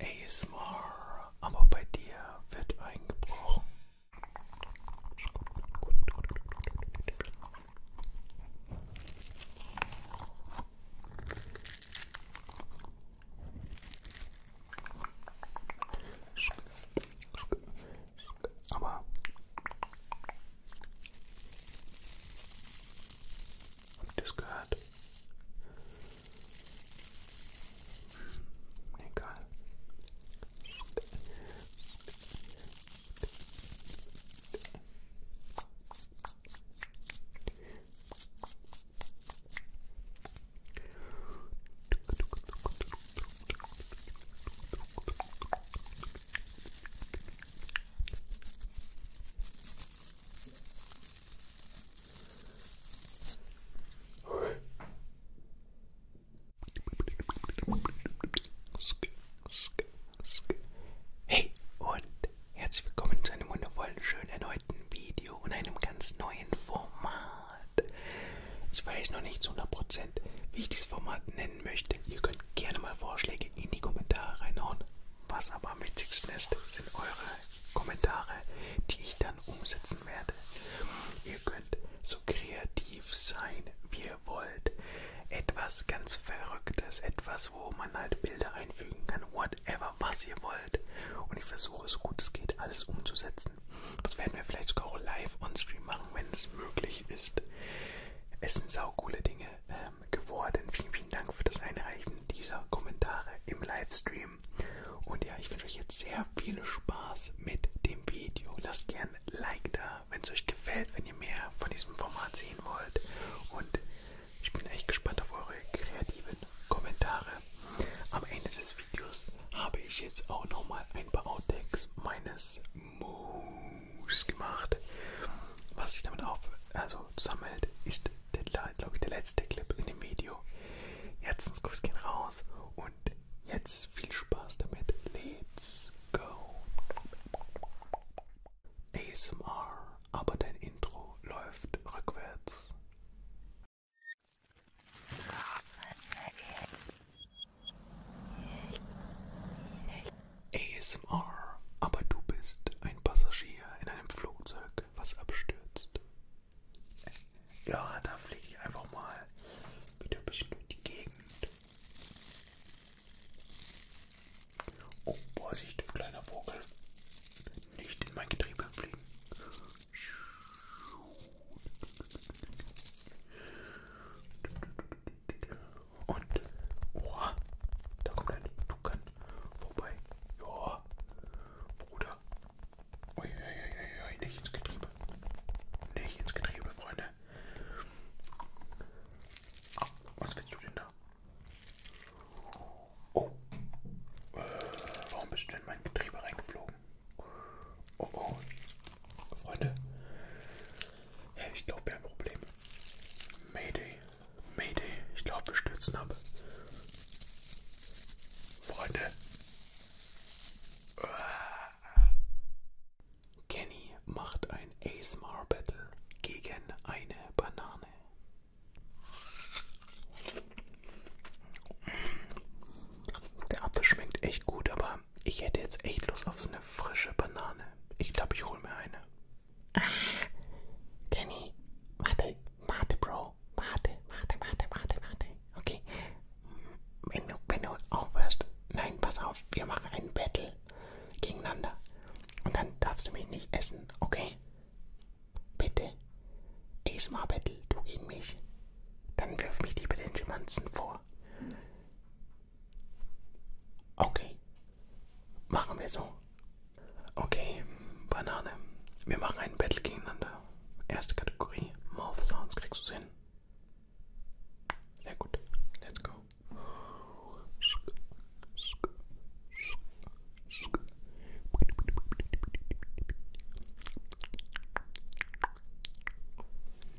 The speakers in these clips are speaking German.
ASMR, aber bei dir wird eingebrochen. Aber just good. There you go. Hey und herzlich willkommen zu einem wundervollen, schönen erneuten Video und einem ganz neuen Format. Ich weiß noch nicht zu 100%, wie ich dieses Format nennen möchte. Ihr könnt gerne mal Vorschläge in die Kommentare reinhauen. Was aber am wichtigsten ist, sind eure Kommentare, die ich dann umsetzen werde. Ihr könnt so kreativ sein, wie ihr wollt. Etwas ganz Verrücktes, etwas, wo man halt Bilder einfügen kann, whatever, was ihr wollt. Und ich versuche, so gut es geht, alles umzusetzen. Das werden wir vielleicht sogar auch live on stream machen, wenn es möglich ist. Es sind saukoole Dinge. Äh, ähm, geworden. Vielen, vielen Dank für das Einreichen dieser Kommentare im Livestream. Und ja, ich wünsche euch jetzt sehr viel Spaß mit dem Video. Lasst gern ein Like da, wenn es euch gefällt, wenn ihr mehr von diesem Format sehen wollt. Und ich bin echt gespannt auf eure kreativen Kommentare. Am Ende des Videos habe ich jetzt auch nochmal ein paar Outtakes meines Moon gemacht. Was sich damit auf, also sammelt, ist, glaube ich, der letzte Clip in dem Video. Herzenskuss gehen raus und jetzt viel Spaß damit. Let's go. ASMR, aber dein Intro läuft rückwärts. ASMR, aber du bist ein Passagier in einem Flugzeug, was abstürzt. Ja, da fliege ich einfach mal wieder ein bisschen durch die Gegend. Oh, Vorsicht, kleiner Vogel. Nicht in mein Getriebe fliegen. Und, oha, da kommt ein Tukan vorbei. Ja, Bruder. Uiuiuiui, nicht ins Getriebe. Nicht ins Getriebe, Freunde. Was willst du denn da? Oh, äh, warum bist du in mein Getriebe reingeflogen? Oh, oh, Freunde, ich glaube, wir haben ein Problem. Mayday, Mayday, ich glaube, wir stürzen ab. Freunde. Kenny macht ein ASMR Battle gegen eine Banane. Der Apfel schmeckt echt gut, aber ich hätte jetzt echt Lust auf so eine frische Banane. Ich glaube, ich hole mir eine. Ah, Kenny, warte, warte, Bro. Warte, warte, warte, warte, warte. Okay. Wenn du, wenn du aufhörst, nein, pass auf, wir machen einen Battle gegeneinander. Und dann darfst du mich nicht essen, okay? Bitte. Esma Battle, du gegen mich. Dann wirf mich lieber den Schimanzen vor. Okay. Machen wir so. Okay, Banane. Wir machen ein Battle gegeneinander. Erste Kategorie. Mouth Sounds kriegst du hin. Sehr gut. Let's go.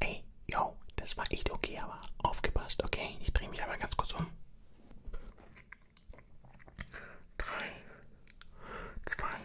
Ey, yo, das war echt okay, aber aufgepasst, okay? Ich drehe mich aber ganz kurz um. 3, 2, 1.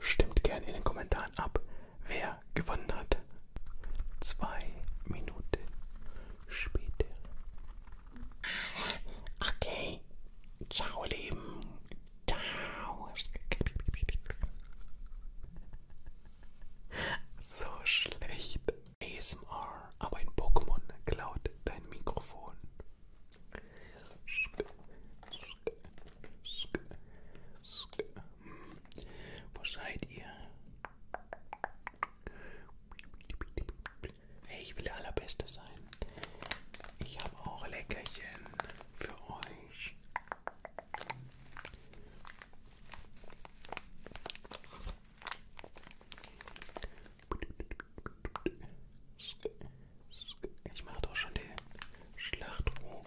Stimmt gerne in den Kommentaren ab, wer gewonnen hat. Zwei Minuten später. Okay. Ciao, Leben. Ciao. So schlecht. ASMR, aber ein Pokémon klaut dein Mikrofon. Sk, sk, sk, sk. Wo seid ihr? Hey, ich will der Allerbeste sein. Ich habe auch Leckerchen für euch. Ich mache doch schon den Schlachtruf.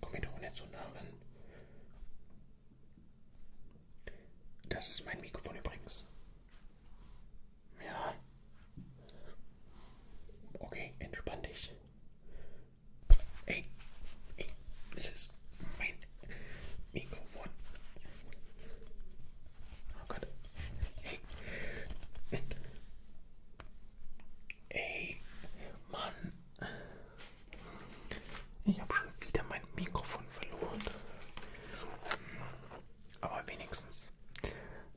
Komm mir doch nicht so nah ran. Das ist mein Mikrofon übrigens. Ja. Okay, entspann dich. Ey, ey, das ist mein Mikrofon. Oh Gott. Hey. Ey, Mann. Ich habe schon wieder mein Mikrofon verloren. Aber wenigstens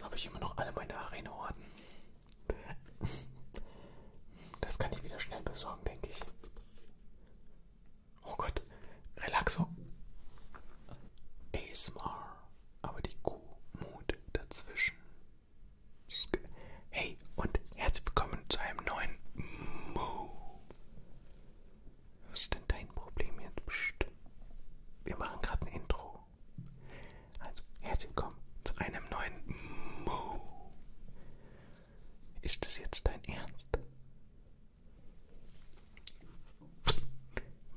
habe ich immer noch alle meine Arena-Orden. Das kann ich wieder schnell besorgen, denke ich. Oh Gott, Relaxo. ASMR, aber die Kuh-Mut dazwischen. Hey und herzlich willkommen zu einem neuen Mo. Was ist denn dein Problem jetzt? Psst. Wir machen gerade ein Intro. Also herzlich willkommen zu einem neuen Mo. Ist das jetzt dein Ernst?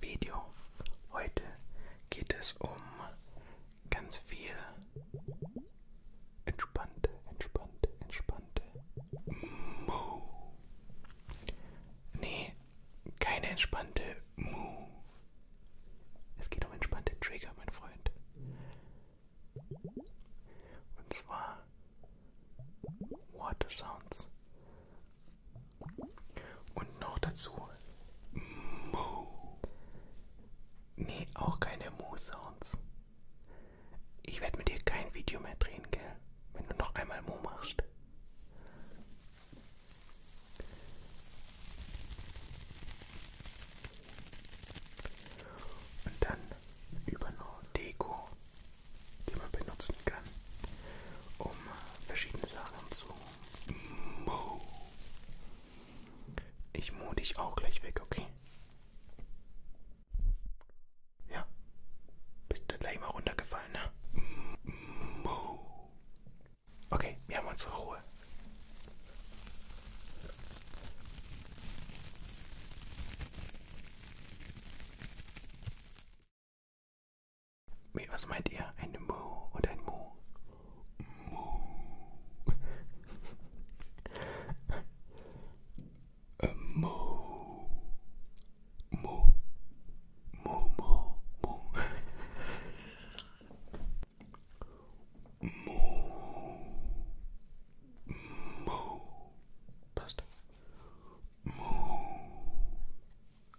Video. Heute geht es um ganz viel entspannte, entspannte, entspannte. Mu. Nee, keine entspannte Mu. Es geht um entspannte Trigger, mein Freund. Und zwar Water Sounds. Und noch dazu Mu. Nee, auch keine Mu-Sounds. Ich werde mit dir kein Video mehr drehen, gell? Wenn du noch einmal Mu machst. Und dann über noch Deko, die man benutzen kann, um verschiedene Sachen zu Mo. Ich mu dich auch gleich weg, okay? Ja. Bist du gleich mal runtergefallen, ne? Mo. Okay, wir haben unsere Ruhe. Wait, was meint ihr? Eine Mo und ein Mo? Mo. A Mo. Mo. Mo, Mo, Mo. Mo. Mo. Passt. Mo.